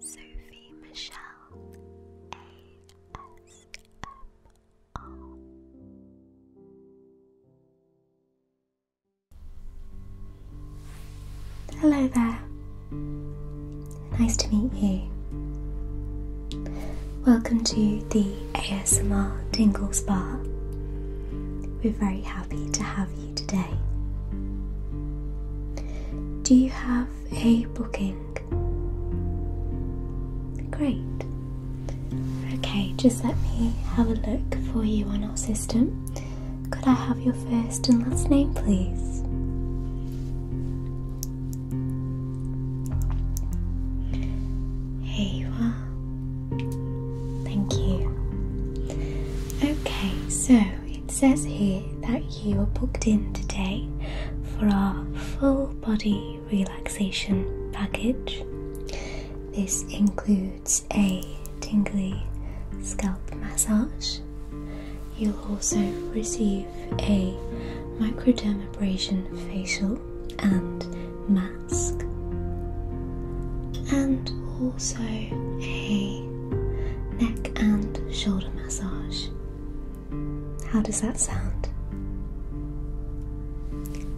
Sophie Michelle ASMR. Hello there. Nice to meet you. Welcome to the ASMR Tingle Spa. We're very happy to have you today. Do you have a booking? Great. Okay, just let me have a look for you on our system. Could I have your first and last name, please? Here you are. Thank you. Okay, so it says here that you are booked in today for our full body relaxation package. This includes a tingly scalp massage. You'll also receive a microdermabrasion facial and mask, and also a neck and shoulder massage. How does that sound?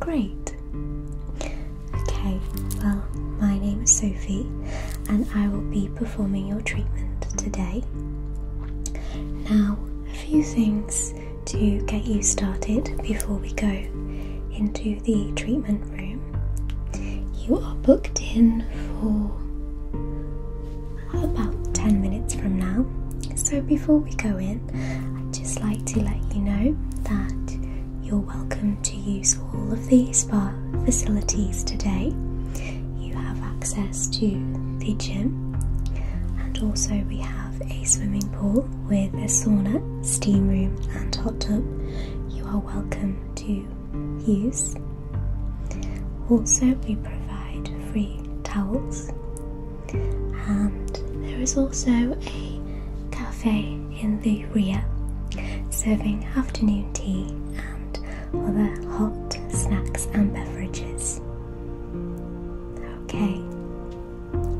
Great. Okay, well, my name is Sophie and I will be performing your treatment today. Now, a few things to get you started before we go into the treatment room. You are booked in for about 10 minutes from now. So before we go in, I'd just like to let you know that you're welcome to use all of the spa facilities today. You have access to the gym, and also we have a swimming pool with a sauna, steam room, and hot tub. You are welcome to use. Also, we provide free towels, and there is also a cafe in the rear serving afternoon tea and other hot snacks and beverages. Okay,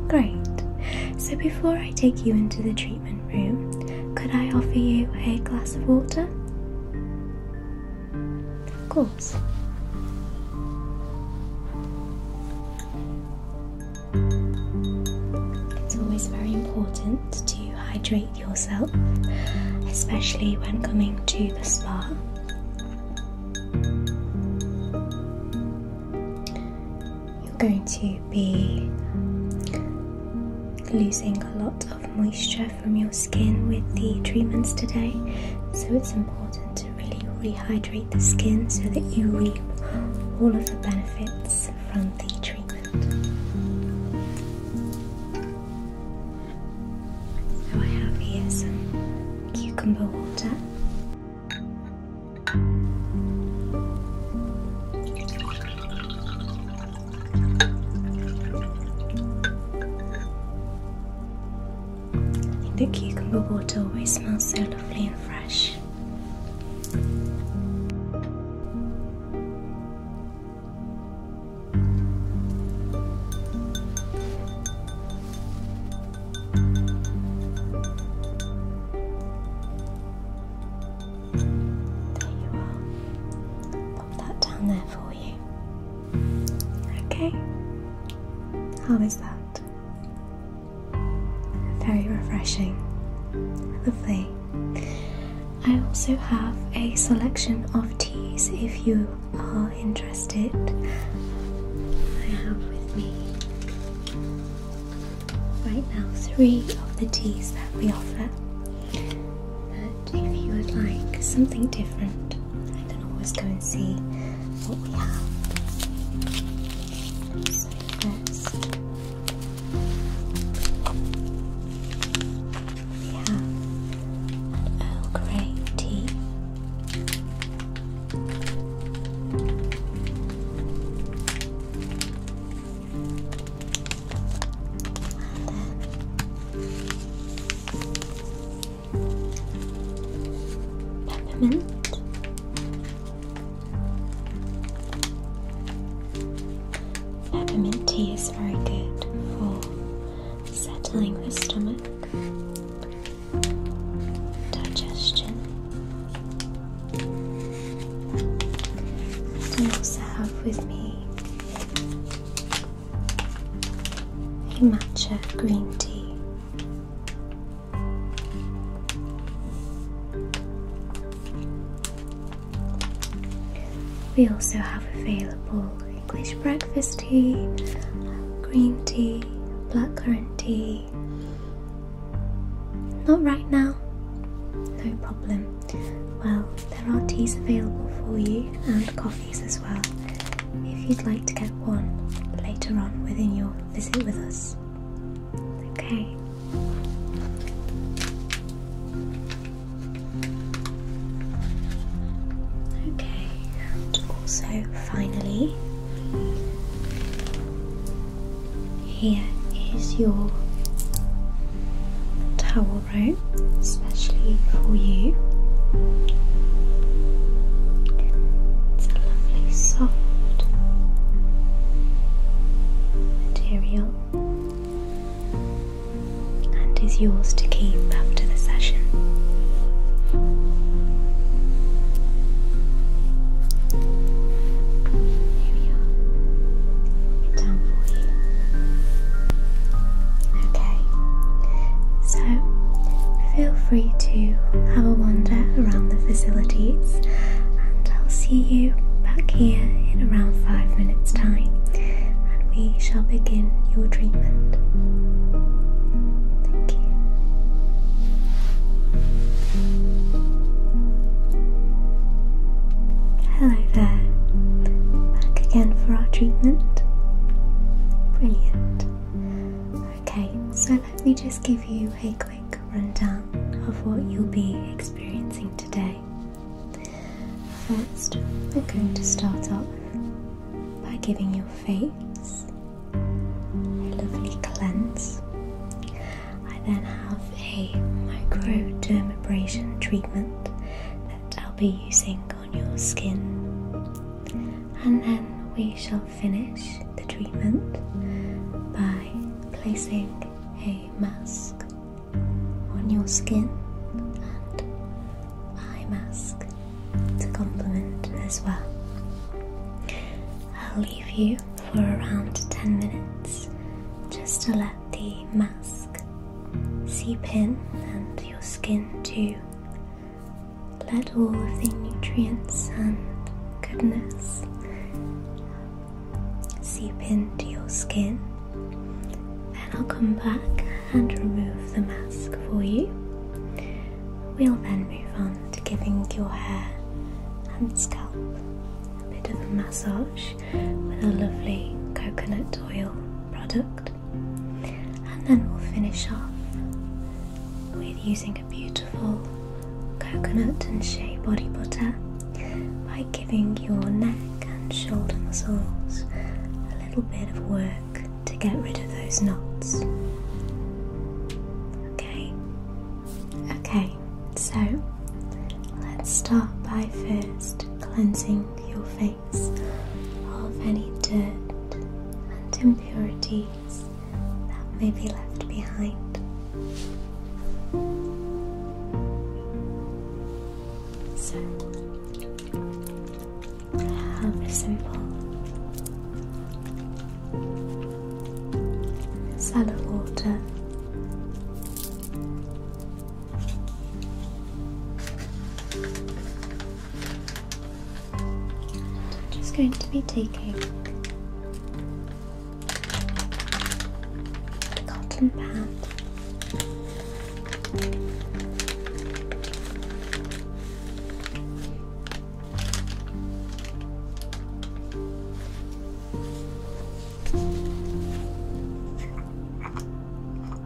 great. So, before I take you into the treatment room, could I offer you a glass of water? Of course. It's always very important to hydrate yourself, especially when coming to the spa. You're going to be losing a lot moisture from your skin with the treatments today, so it's important to really rehydrate the skin so that you reap all of the benefits from the treatment. So, I have here some cucumber water. The cucumber water always smells so lovely and fresh. There you are that down there for you. Okay, how is that? Very refreshing. Lovely. I also have a selection of teas if you are interested. I have with me right now three of the teas that we offer if you would like something different, I can always go and see what we have. first, we have an Earl Grey tea. Peppermint. Peppermint tea is very good for settling the stomach, digestion, and also have with me a matcha green tea. We also have available English breakfast tea, green tea, blackcurrant tea. Not right now, no problem. Well, there are teas available for you and coffees as well if you'd like to get one later on within your visit with us. Okay. Okay, and also finally, here is your towel alright? Especially for you. It's a lovely soft material and is yours to keep after the session. Okay, so feel free to have a wander around the facilities, and I'll see you back here in around five minutes' time, and we shall begin your treatment. Thank you. Hello there. Back again for our treatment. Brilliant. Okay, so let me just give you a quick rundown of what you'll be experiencing today. First, we're going to start off by giving your face a lovely cleanse. I then have a microdermabrasion treatment I'll be using on your skin, and then we shall finish the treatment by placing a mask on your skin and eye mask to complement as well. I'll leave you for around 10 minutes just to let the mask seep in and your skin too. Let all of the nutrients and goodness seep into your skin. Then I'll come back and remove the mask for you. We'll then move on to giving your hair and scalp a bit of a massage with a lovely coconut oil product. And then we'll finish off with using a beautiful coconut and shea body butter by giving your neck and shoulder muscles a little bit of work to get rid of those knots. Okay, okay, so let's start by first cleansing your face of any dirt and impurities that may be left behind. So, have a simple salad water I'm just going to be taking a cotton pad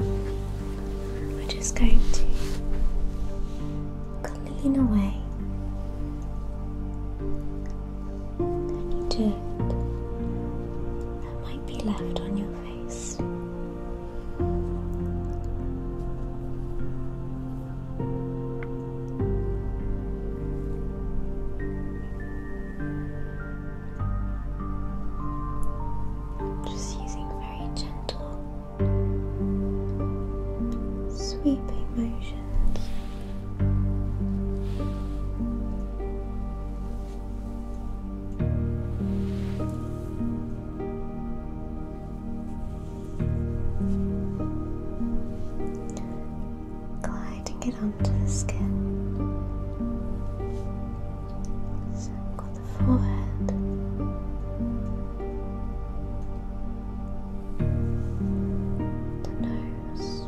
We're just going to clean away. Any dirt that might be left on your face. Just using very gentle sweeping motions. Gliding it onto the skin forehead. The nose.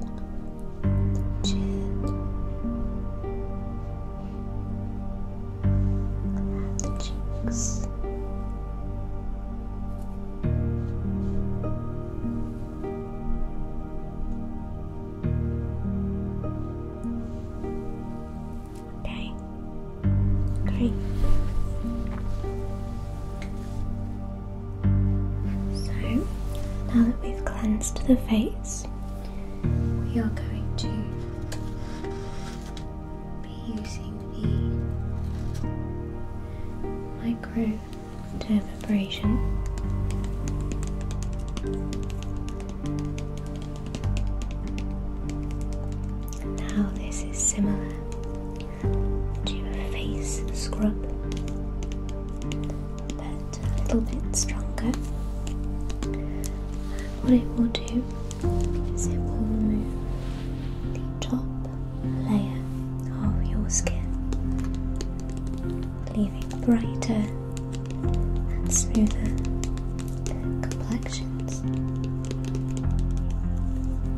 The chin. And the cheeks. Okay, great. So now that we've cleansed the face, we are going to be using the micro the preparation. Now this is similar to a face scrub, but a little bit stronger. what it will do is it will remove the top layer of your skin, leaving brighter and smoother complexions.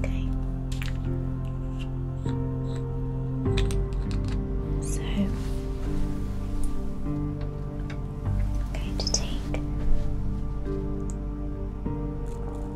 Okay, so I'm going to take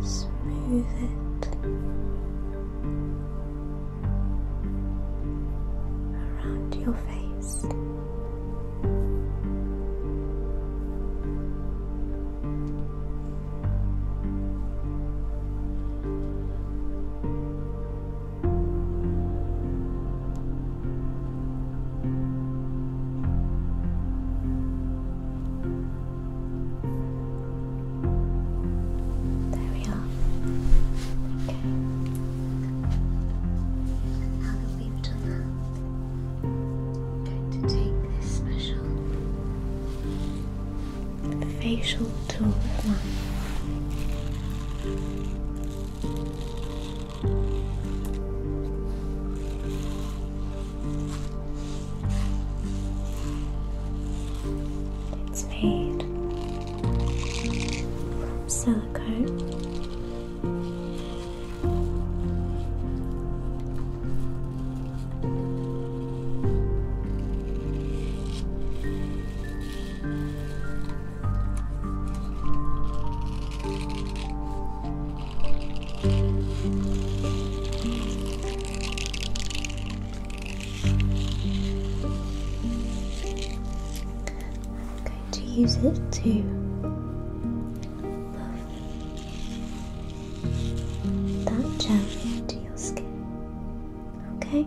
smooth it around your face. There we are. Okay. Now that we've that, going to take this special facial tool one. It's made from silicone. I'm going to use it to buff that gel into your skin. Okay.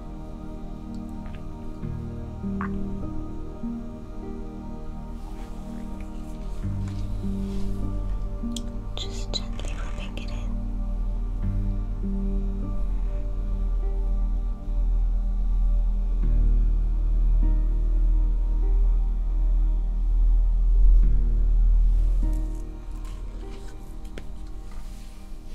Just gently rubbing it in.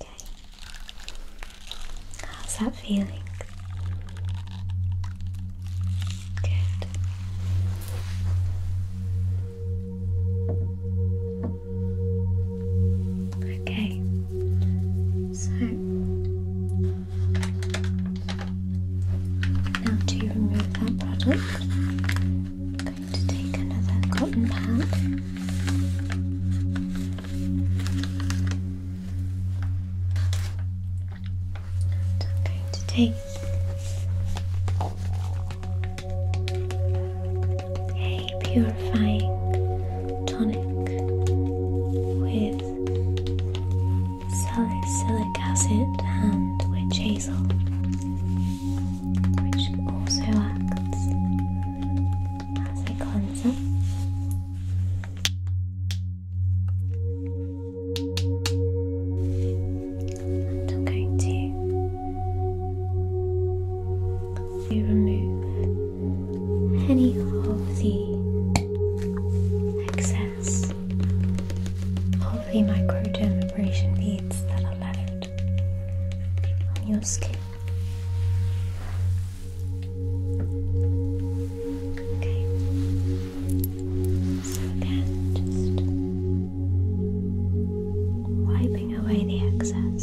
Okay. How's that feeling? Good. Okay. So now to remove that product. I'm going to take another cotton pad. I'm going to take a purifying tonic with salicylic acid and witch hazel which also acts as a cleanser. I'm going to remove any of the excess of the microdermabrasion beads that are left on your skin. Okay, so then just wiping away the excess.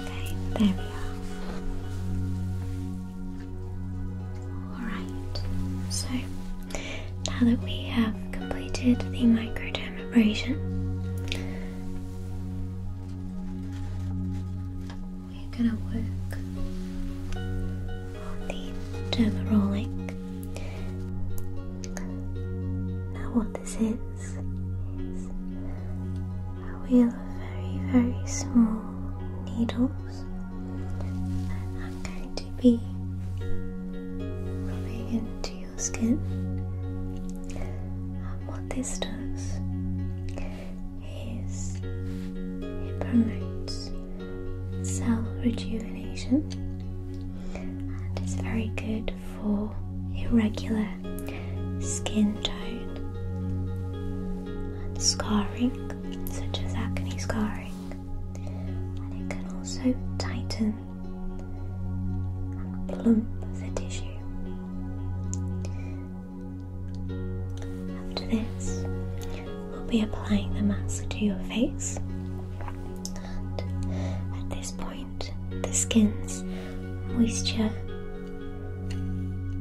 Okay, there we are. Alright, so now that we have completed the microdermabrasion, we're going to work on the dermarolic. Now, what this is a wheel of very, very small needles. I'm going to be rubbing into your skin. And what this does is it promotes cell rejuvenation and it's very good for irregular skin tone and scarring, such as acne scarring, and it can also tighten and plump the tissue. After this, we'll be applying the mask to your face, and at this point the skin's moisture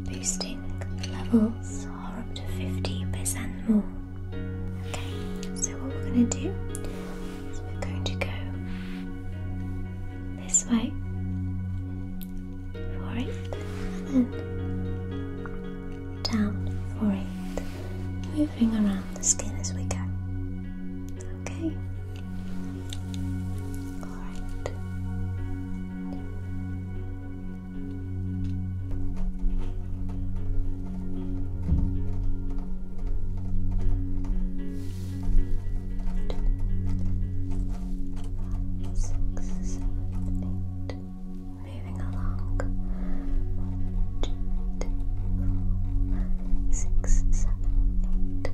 boosting levels are up to 50% more. Okay, so what we're going to do is we're going to go this way for it and then down for it, moving around the skin as we go. Okay. Alright. Six, seven, eight. Moving along. One, two, three, four, six, seven, eight.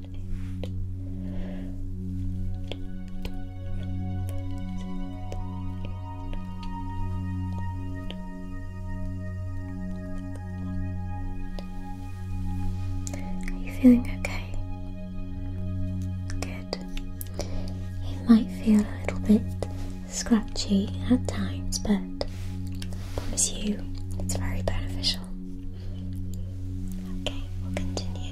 Are you feeling okay? Good. It might feel a little bit scratchy at times, but I promise you it's very beneficial. Okay, we'll continue.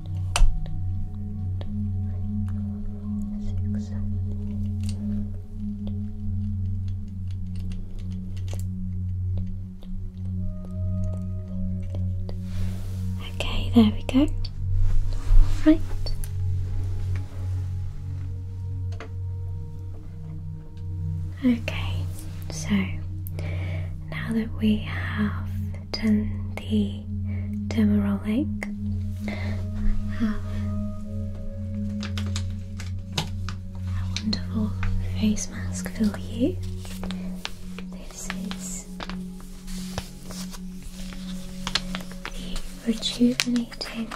Okay, there we go. Right. Okay, so now that we have than the Demerol Have a wonderful face mask for you. This is the rejuvenating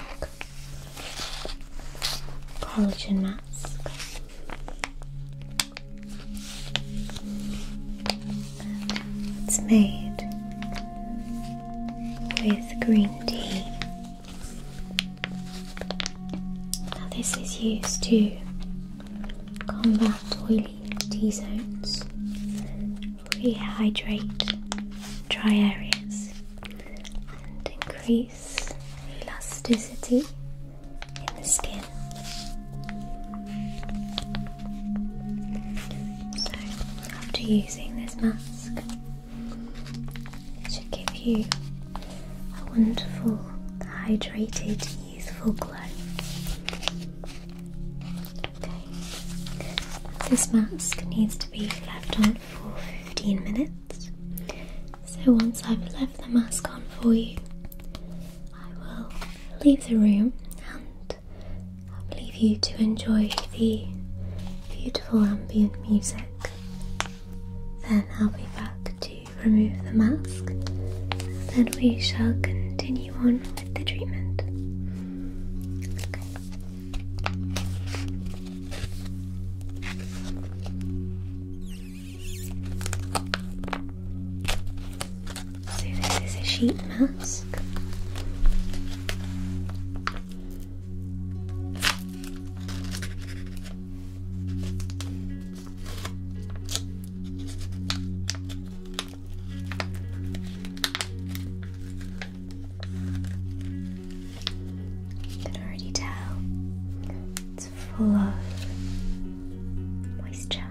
collagen mask. It's made with green tea. Now, this is used to combat oily T zones, rehydrate dry areas, and increase elasticity in the skin. So, after using this mask, it should give you a wonderful, hydrated, youthful glow. Okay. This mask needs to be left on for 15 minutes. So, once I've left the mask on for you, I will leave the room and I'll leave you to enjoy the beautiful ambient music. Then I'll be back to remove the mask, and then we shall continue on with the treatment. So this is a sheet mask. You can already tell it's full of moisture.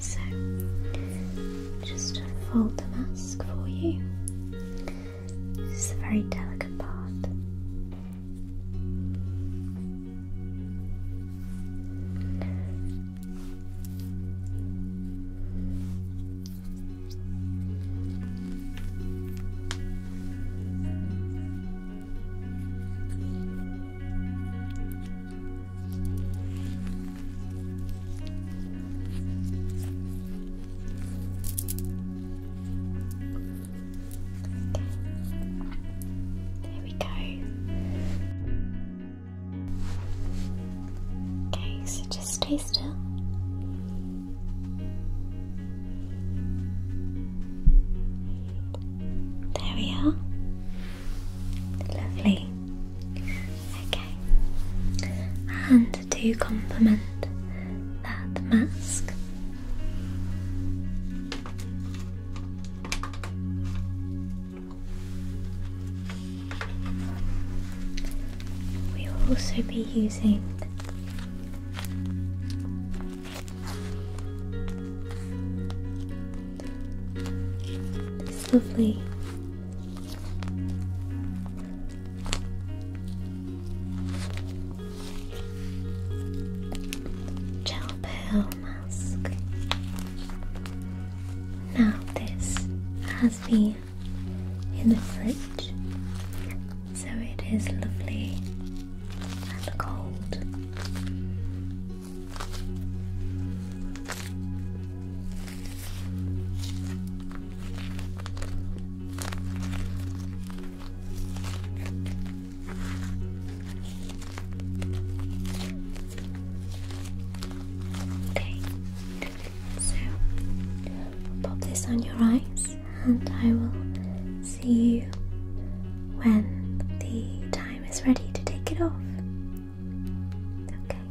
So, just fold the mask for you. This is a very delicate part. There we go. Okay, so just stay still. There we are. Lovely. Okay. And to complement that mask, we will also be using it's lovely. Gel pearl mask. Now this has been in the fridge so it is lovely and cold. Okay, so pop this on your eyes and I will see you when the time is ready to take it off. There we are.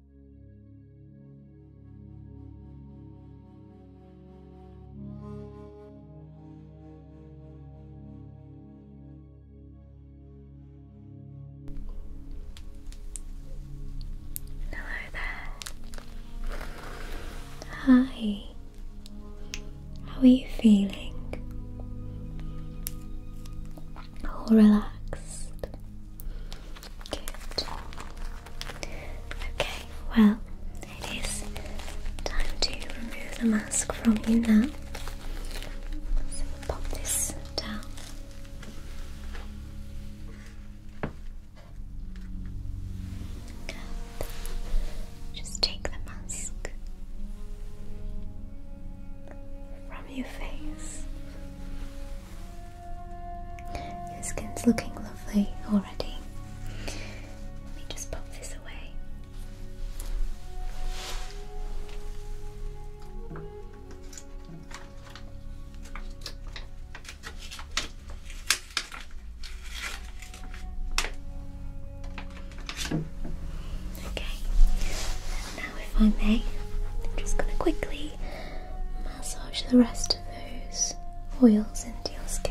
Hello there. Hi. How are you feeling? All relaxed. Good. Okay, well, it is time to remove the mask from you now. So pop this down. Just take the mask from your face. Your skin's looking lovely already. Let me just pop this away. Okay, now if I may, I'm just going to quickly massage the rest those oils into your skin.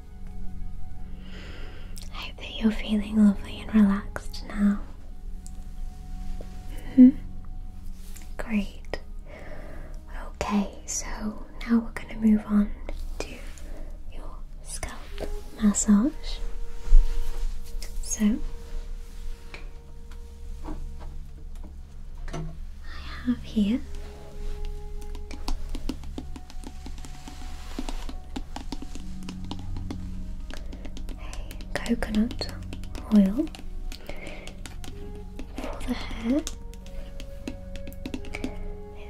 I hope that you're feeling lovely and relaxed now. hmm Great. Okay, so now we're going to move on to your scalp massage. So, I have here coconut oil for the hair.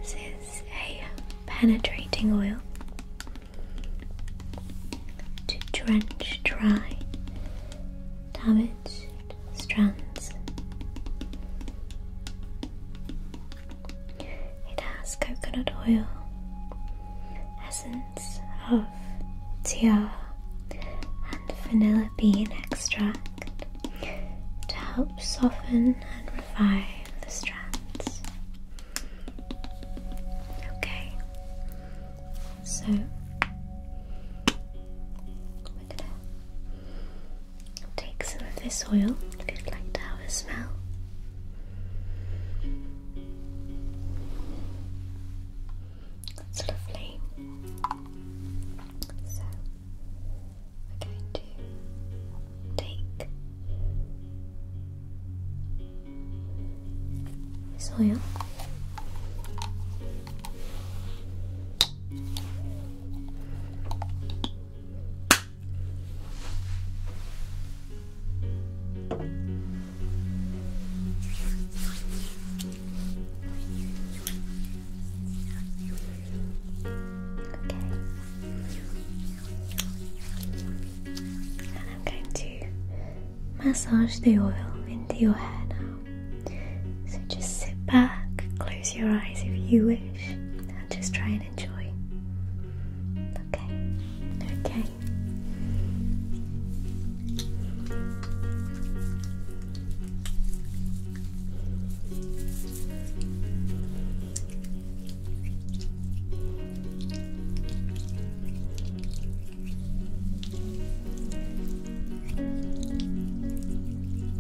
This is a penetrating oil to drench dry damaged strands it has coconut oil, essence of tiara, and vanilla bean extract to help soften and revive the strands. Okay, so we're going Take some of this oil if you'd like to have a smell. That's lovely. So, we're going to take oil. And I'm going to massage the oil into your hair now. So just sit back, close your eyes if you wish, just try and enjoy. okay. Okay.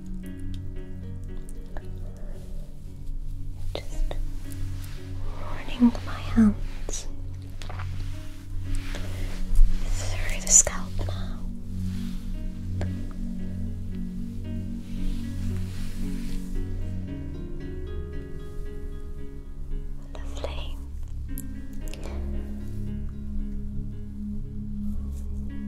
Just running my hands through the scalp now. Lovely.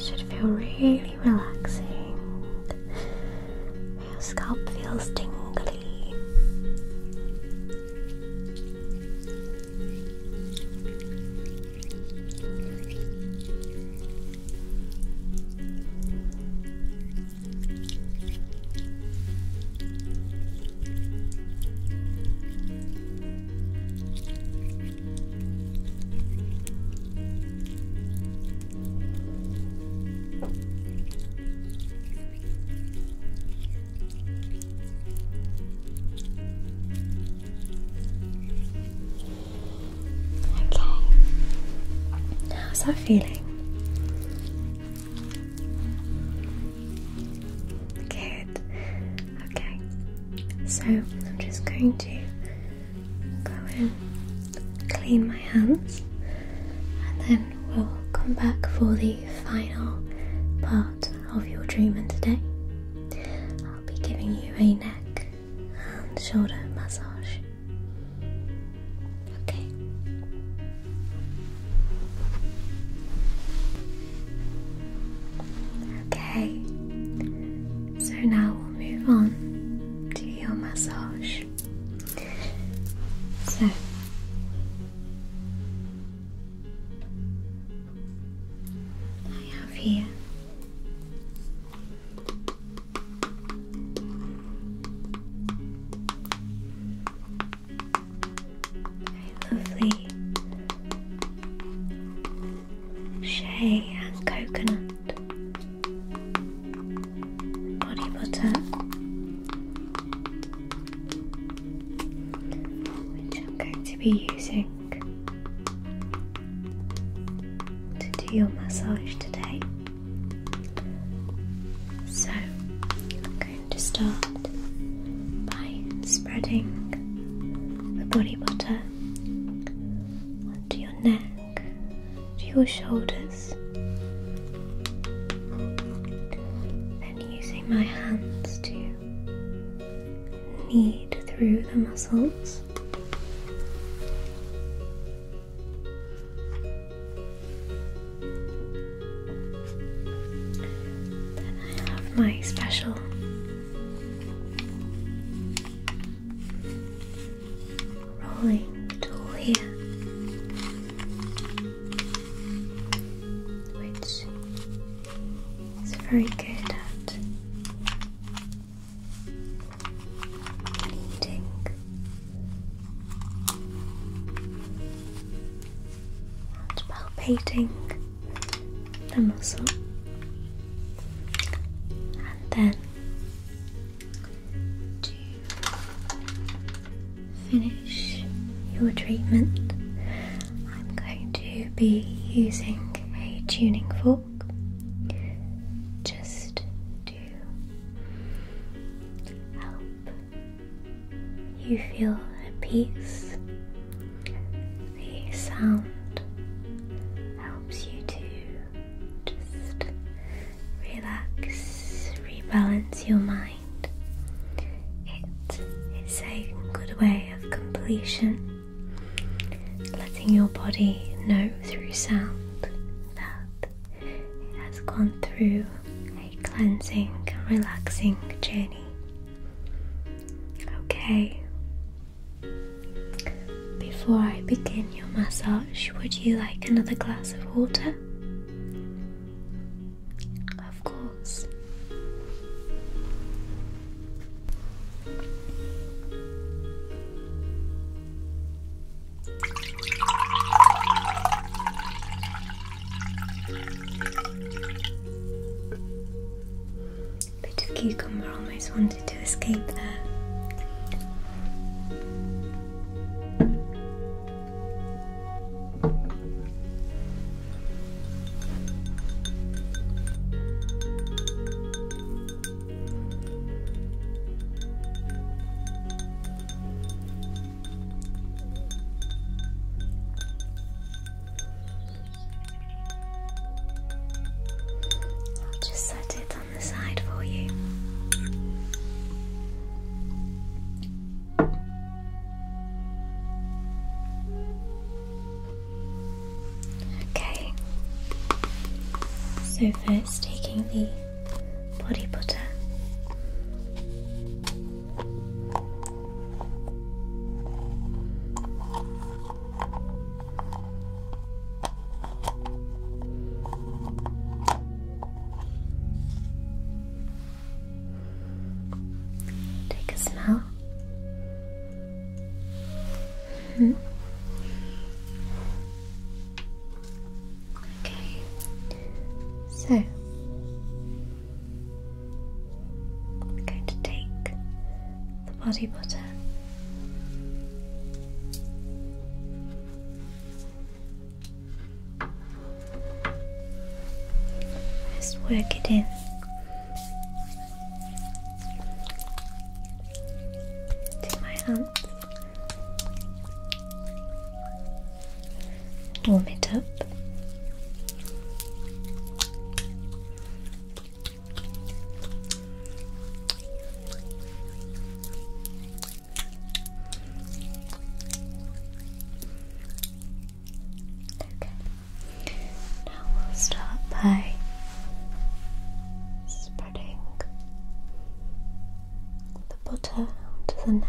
Should feel really relaxing. Your scalp feels tingly. Okay, how's that feeling? Good. Okay. So I'm just going to go and clean my hands and then we'll come back for the final part of your treatment today. I'll be giving you a neck and shoulder massage. Okay. Okay. So now we'll move on to your massage. So I have here lovely shea and coconut body butter, which I'm going to be using to do your massage today. So, to start by spreading the body butter onto your neck, to your shoulders, then using my hands to knead through the muscles. I have my special rolling tool here, which is very good at kneading palpating the muscle, and then to finish your treatment, I'm going to be using a tuning fork just to help you feel at peace. The sound helps you to just relax, rebalance your mind. It is a good way of completion, letting your body know through sound that it has gone through a cleansing, relaxing journey. Okay. Before I begin your massage, would you like another glass of water? Of course. Bit of cucumber almost wanted to escape there. I'll just set it on the side for you. Okay, so first taking the body butter. Take a smell. -hmm. Okay. So I'm going to take the body butter. Just work it in. To my hands warm it up. Okay. Now we'll start by spreading the butter onto the neck.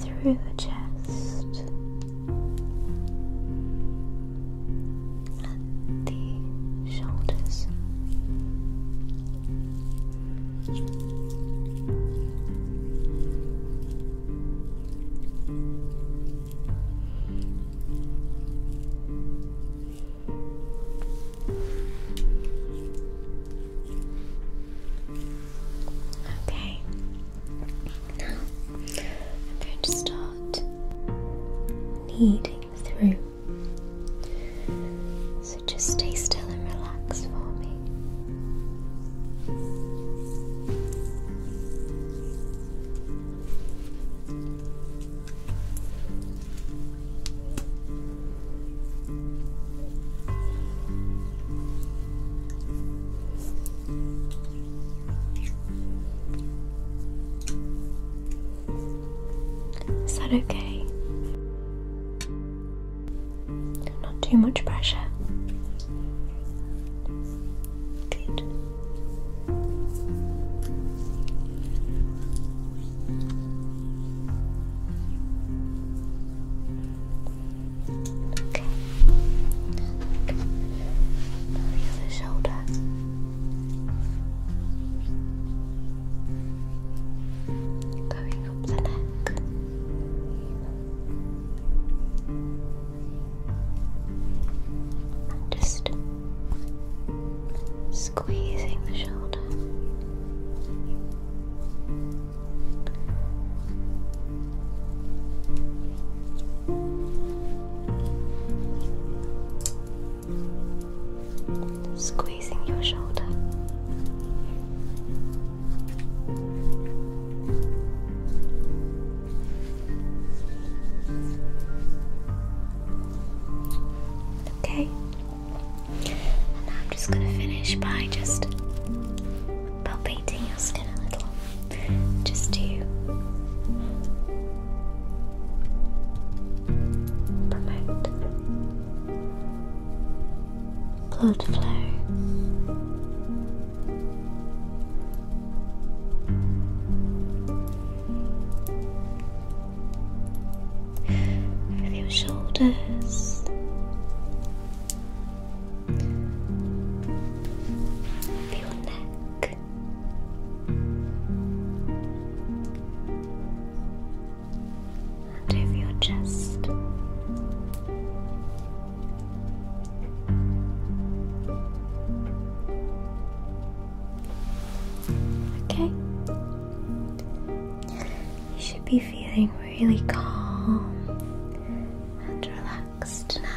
through the chest and the shoulders. Okay, I'm going to start kneading through. So just stay still and relax for me. Is that okay? Not too much pressure. Good. Okay. the shoulder. Going up the neck. just squeezing the shoulder. Squeezing your shoulder. Okay, and I'm just going to finish by just painting your skin a little just to promote blood flow. Over your shoulders, your neck. And over your chest, okay. You should be feeling really calm and relaxed. Next now.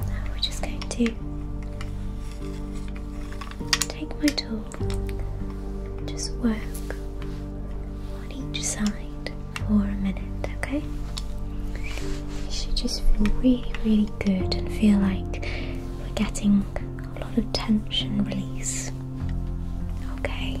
Now we're just going to take my tool, just work on each side for a minute, okay? You should just feel really, really good and feel like we're getting a lot of tension release. Okay.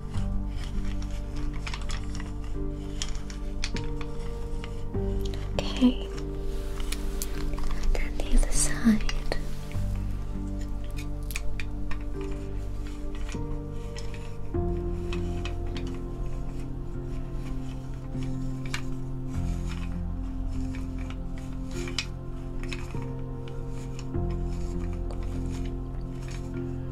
Okay. Then the other side.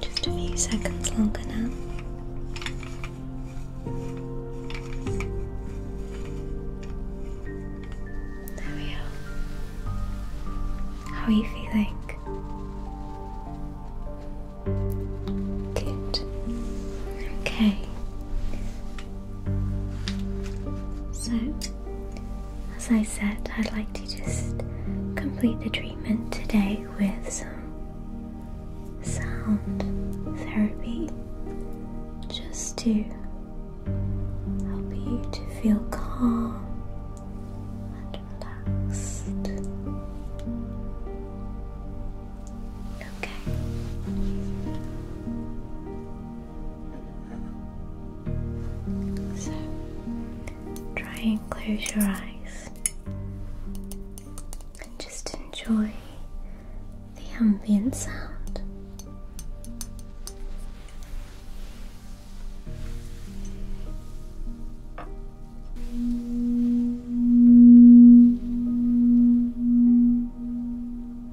Just a few seconds longer now. There we are. How are you feeling? Good. Okay. So as I said, I'd like to just complete the treatment today with some sound therapy just to help you to feel calm and relaxed. Okay. So try and close your eyes and just enjoy the ambient sound.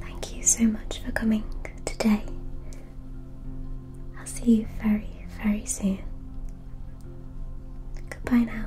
Thank you so much for coming today. I'll see you very, very soon. Goodbye now.